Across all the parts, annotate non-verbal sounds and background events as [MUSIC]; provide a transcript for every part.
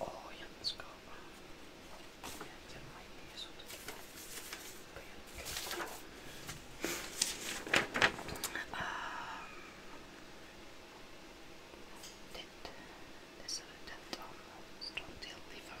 Oh, ja nie zgoła. Ja moje nie są takie pojemki. Did this attempt on strong tail liver?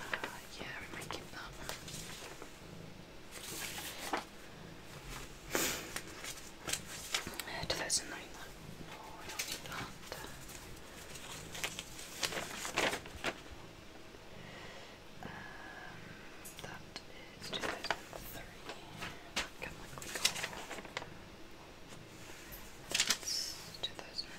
Uh, yeah, we might keep that. [SIGHS] 2009. No, I don't need that. Um, that is 2003. That's 2009.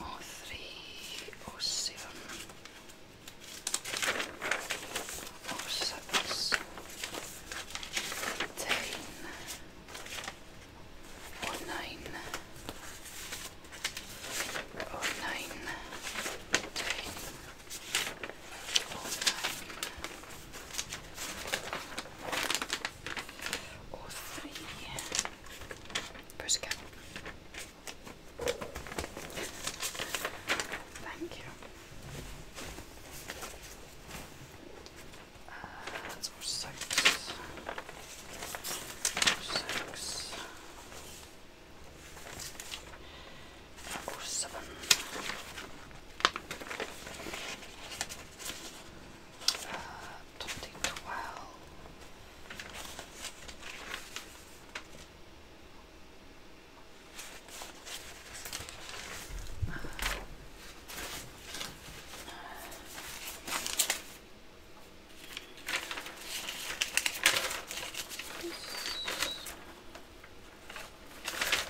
or three or seven or six ten or nine or nine ten or nine Oh three push again. Thank you. Uh, that's more six. Six uh, 2012.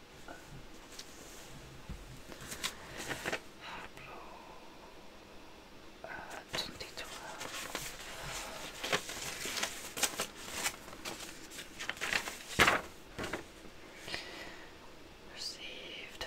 Blue, uh, 2012. Received.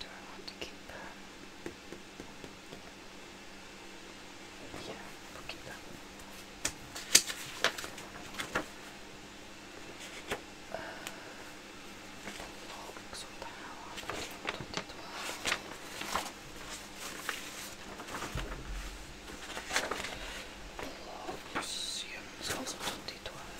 Do I want to keep that? Yeah, keep that. Uh, box of power, 2012. Plusieurs soixante étoiles.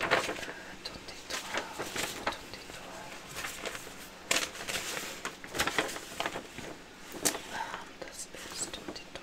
Attendez-toi, attendez-toi. Ah, das bist du, die Tor.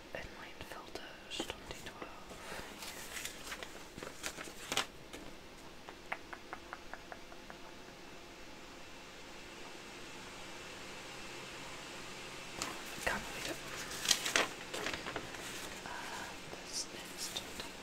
Inline filters, 2012. Can't uh, this is 2012.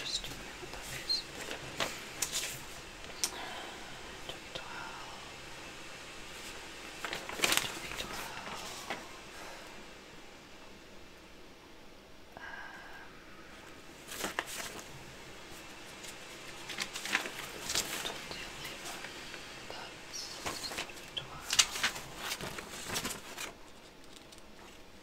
Just do what that is. Twenty twelve. Twenty twelve. Um, that's 12.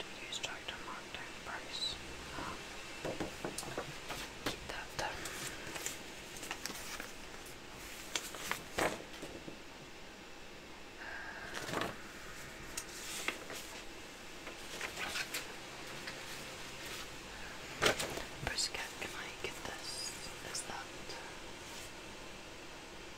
And you start to mark down price. Keep that Brisket, can I get this? Is that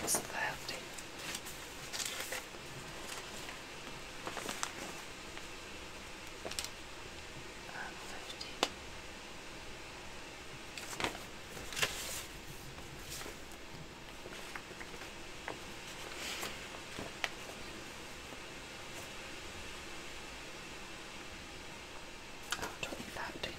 that's lovely. Um, fifty. Oh,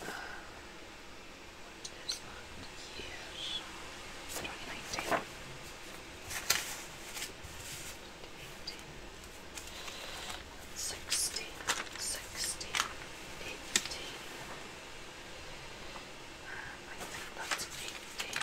What is that? Years. 2018. 16, 16, 18. Um, I think that's 18.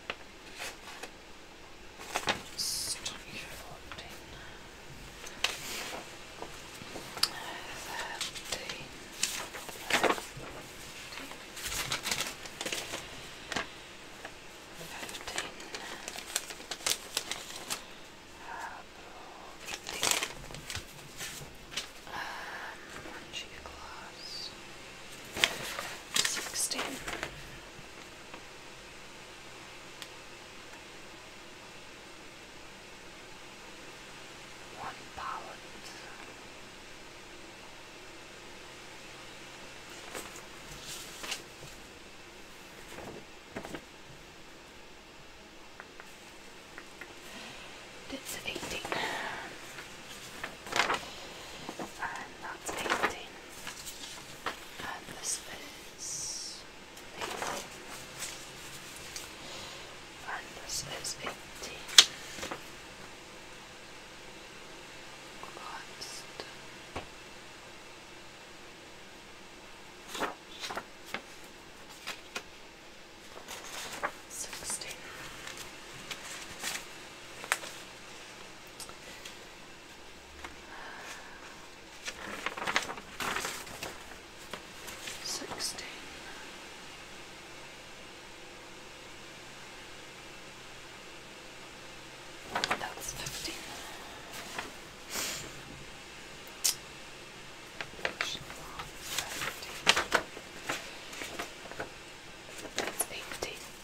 Just fourteen, thirteen, fifteen, um, Orange glass. Sixteen. One pallet. That's eighteen, and that's eighteen. And this is eighteen. And this is eighteen. Collapsed. Sixteen. Sixteen. That's fifteen. That's eighteen.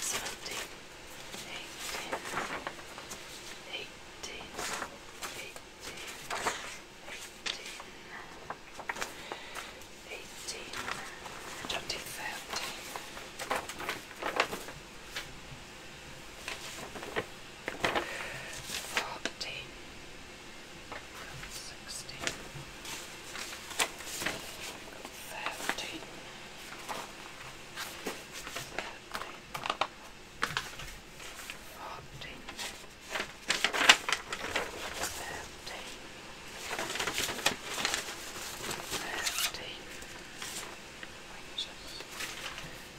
seventeen, eighteen, eighteen, eighteen, eighteen, eighteen, twenty, thirty. Fourteen, sixteen, thirteen, thirteen, fourteen, thirteen, thirteen.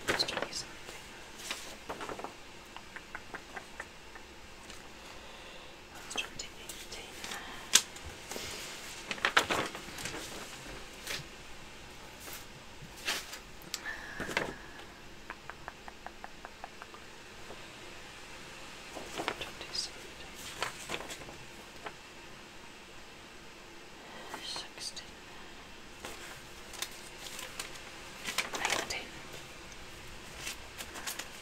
Let's try something. 13 14 15 16 Constructing a container. Twenty seventeen. Sixteen. Nineteen.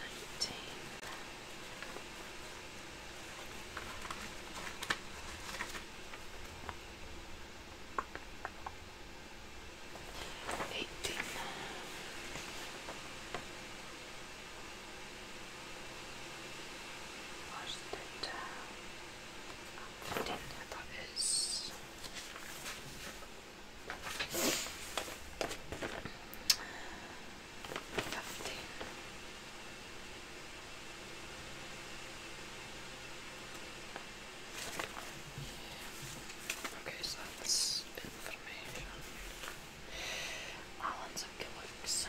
nineteen. Eighteen. Wash that down. Then that is Fifteen. Okay, so that's information. Alan's a looks.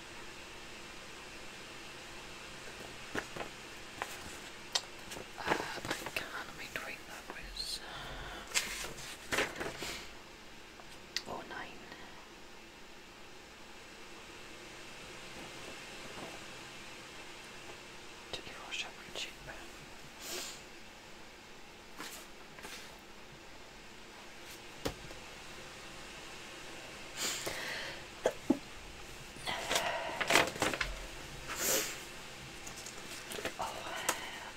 Uh, I can't be doing that with oh nine. To Oh,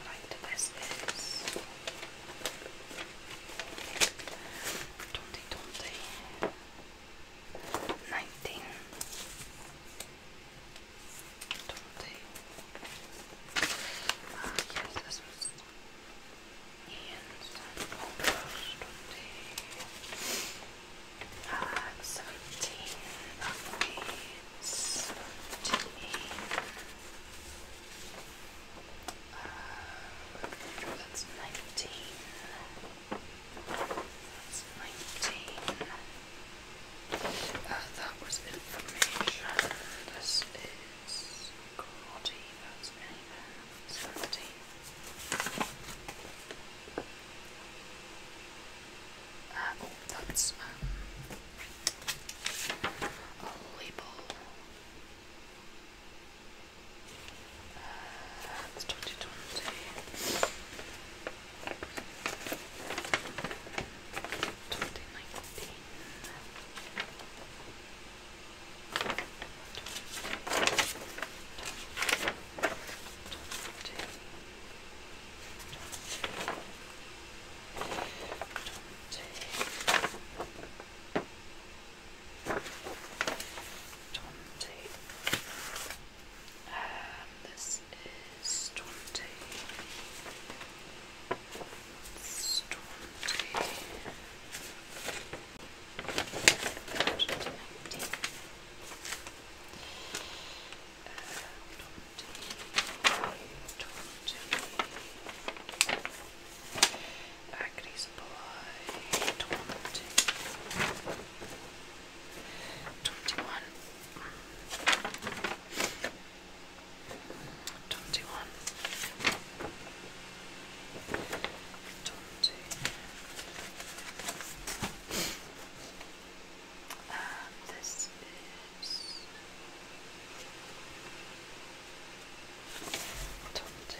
right, this is twenty twenty nineteen twenty. Uh, yes, this was and almost uh, that's 19 that's 19 uh, that was information. This is quality, that's 17. Uh, oh, that's um, a label. Uh, 2020. 2019. Um, this is Dante. Storm Agri's boy, twenty, twenty-one, twenty-one, talked to. this is Tonte.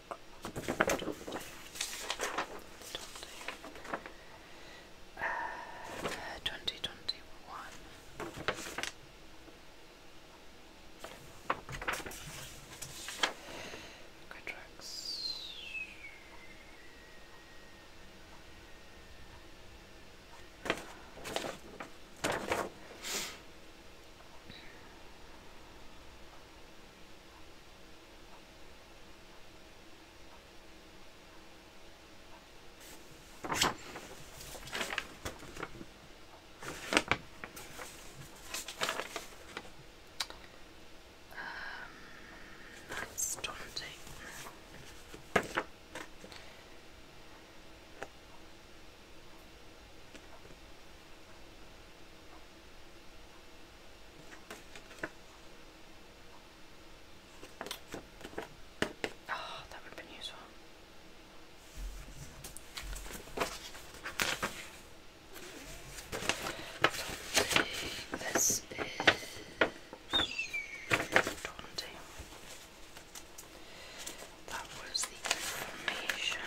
Uh, 2021. Contracts. Um, that's daunting. Oh, that would have been useful. This is daunting. That was the information.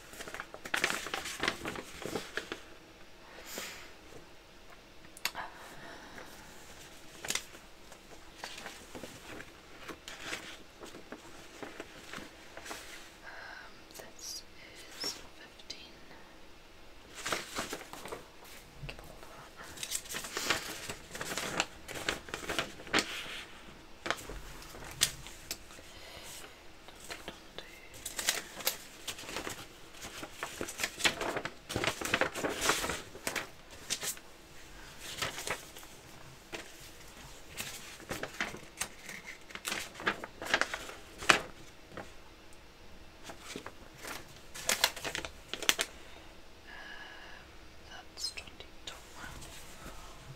Um, this is fifteen. Hold on. Um, that's twenty twelve.